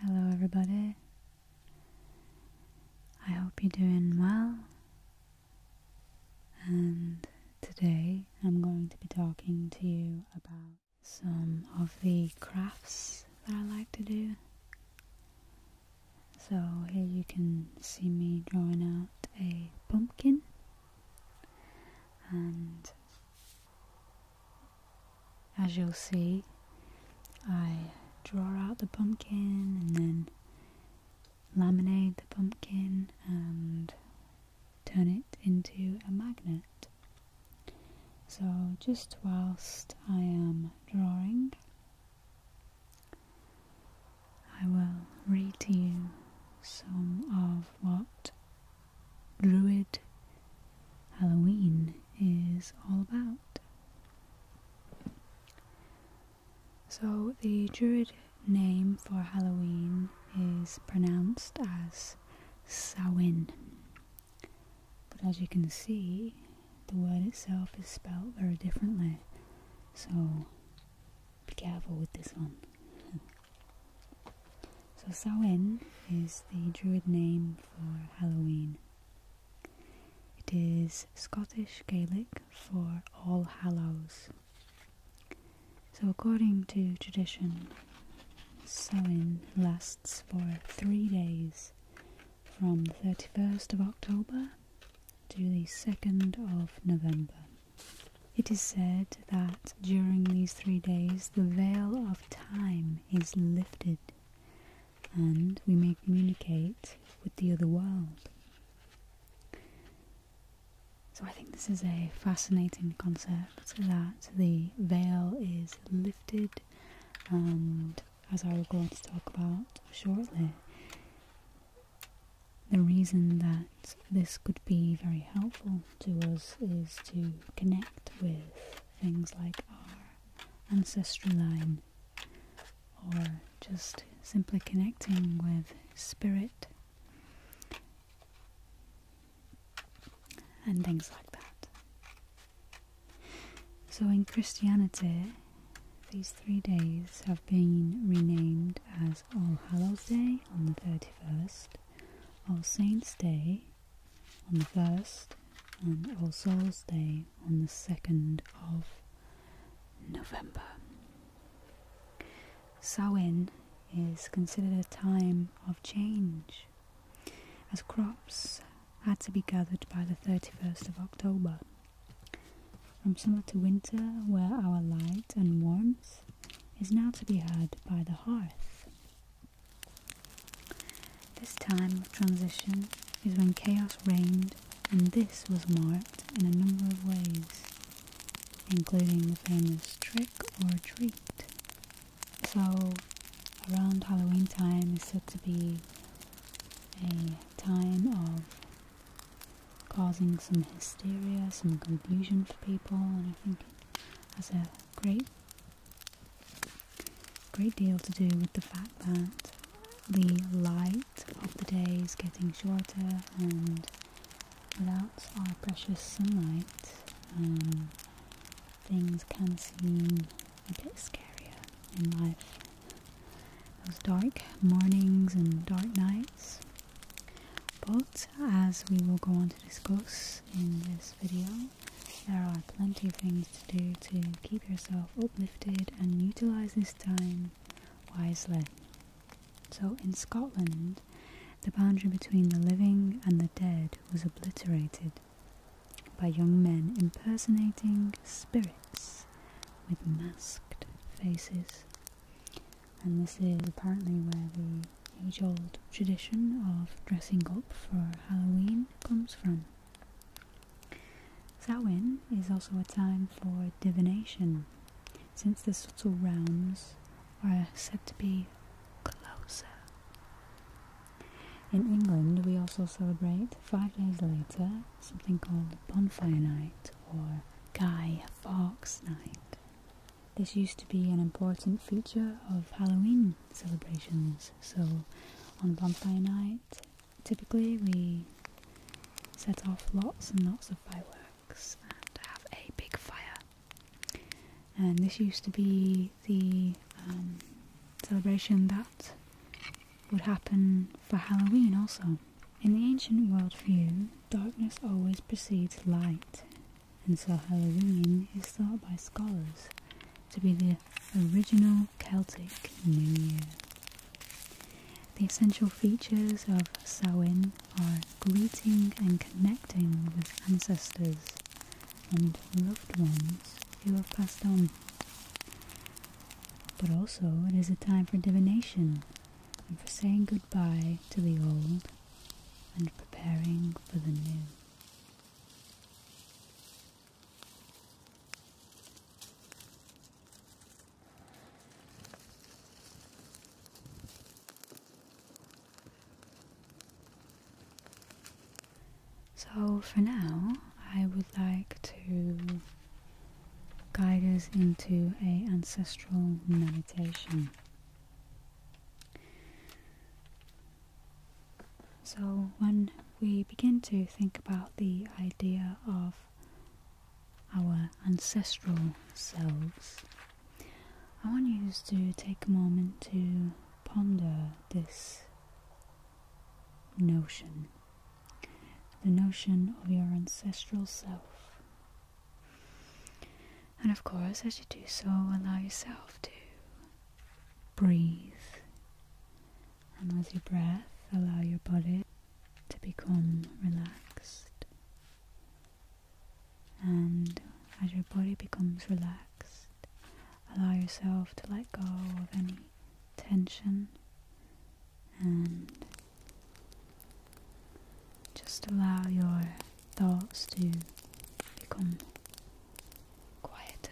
Hello, everybody. I hope you're doing well. And today I'm going to be talking to you about some of the crafts that I like to do. So, here you can see me drawing out a pumpkin, and as you'll see, I draw out the pumpkin and then laminate the pumpkin and turn it into a magnet. So just whilst I am drawing, I will read to you some of what Druid Halloween is all about. So, the Druid name for Halloween is pronounced as Samhain. But as you can see, the word itself is spelled very differently. So, be careful with this one. so, Samhain is the Druid name for Halloween. It is Scottish Gaelic for All Hallows. So, according to tradition, sowing lasts for three days from the 31st of October to the 2nd of November. It is said that during these three days the veil of time is lifted and we may communicate with the other world. So I think this is a fascinating concept that the veil is lifted and as I will go on to talk about shortly, the reason that this could be very helpful to us is to connect with things like our ancestry line or just simply connecting with spirit and things like that. So in Christianity, these three days have been renamed as All Hallows Day on the 31st, All Saints Day on the 1st and All Souls Day on the 2nd of November. Sowing is considered a time of change as crops had to be gathered by the 31st of October. From summer to winter, where our light and warmth is now to be had by the hearth, this time of transition is when chaos reigned and this was marked in a number of ways, including the famous trick or treat. So around Halloween time is said to be a time of causing some hysteria, some confusion for people, and I think it a great Great deal to do with the fact that the light of the day is getting shorter, and without our precious sunlight, um, things can seem a bit scarier in life. Those dark mornings and dark nights. But as we will go on to discuss in this video, there are plenty of things to do to keep yourself uplifted and utilize this time wisely. So, in Scotland, the boundary between the living and the dead was obliterated by young men impersonating spirits with masked faces. And this is apparently where the age old tradition of dressing up for Halloween comes from. Samhain is also a time for divination, since the subtle realms are said to be closer. In England, we also celebrate five days later something called Bonfire Night or Guy Fawkes Night. This used to be an important feature of Halloween celebrations. So on Vampire Night, typically we set off lots and lots of fireworks and have a big fire. And this used to be the um, celebration that would happen for Halloween also. In the ancient worldview, darkness always precedes light, and so Halloween is thought by scholars to be the original Celtic New Year. The essential features of Samhain are greeting and connecting with ancestors and loved ones who have passed on. But also, it is a time for divination and for saying goodbye to the old and preparing for the new. So, for now, I would like to guide us into a ancestral meditation. So, when we begin to think about the idea of our ancestral selves, I want you to take a moment to ponder this notion the notion of your ancestral self. And of course, as you do so, allow yourself to breathe. And as your breath, allow your body to become relaxed. And as your body becomes relaxed, allow yourself to let go of any tension and just allow your thoughts to become quieter.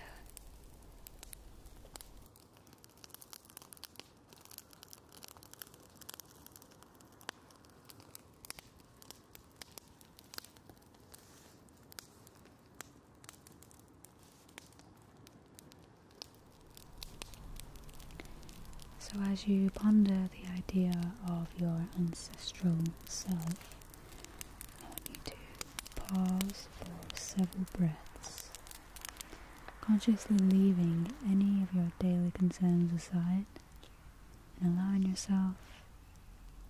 So, as you ponder the idea of your ancestral self, I want to pause for several breaths, consciously leaving any of your daily concerns aside and allowing yourself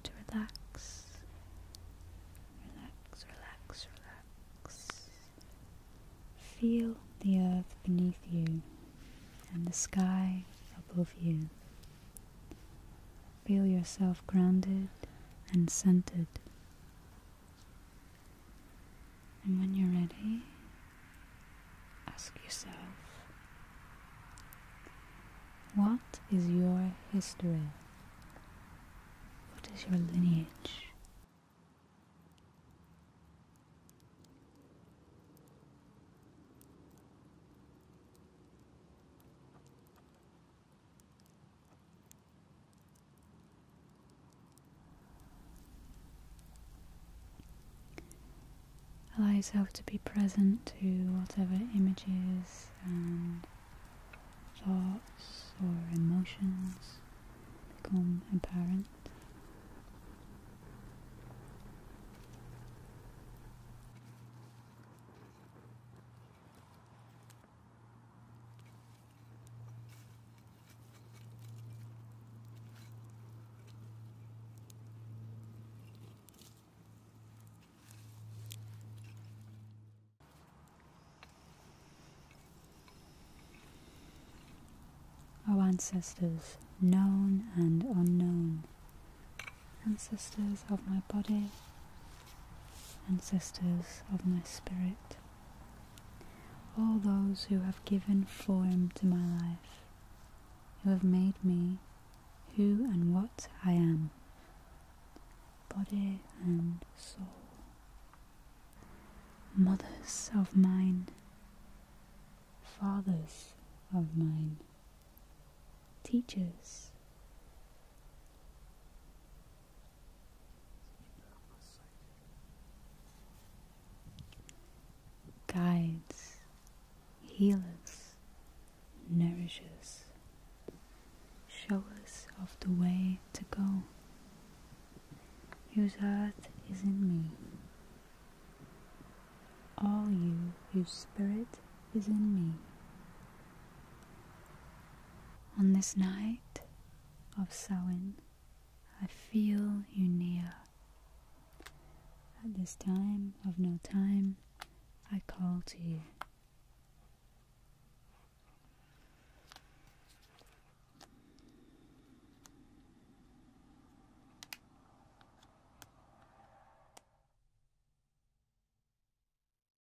to relax. Relax, relax, relax. Feel the earth beneath you and the sky above you. Feel yourself grounded and centered. And when you're ready, ask yourself what is your history? What is your lineage? Allow yourself to be present to whatever images and thoughts or emotions become apparent. O ancestors, known and unknown, ancestors of my body, Ancestors of my spirit, all those who have given form to my life, who have made me who and what I am, body and soul. Mothers of mine, fathers of mine, teachers, guides, healers, nourishers, show us of the way to go, whose earth is in me. All you whose spirit is in me, on this night of Samhain, I feel you near. At this time of no time, I call to you.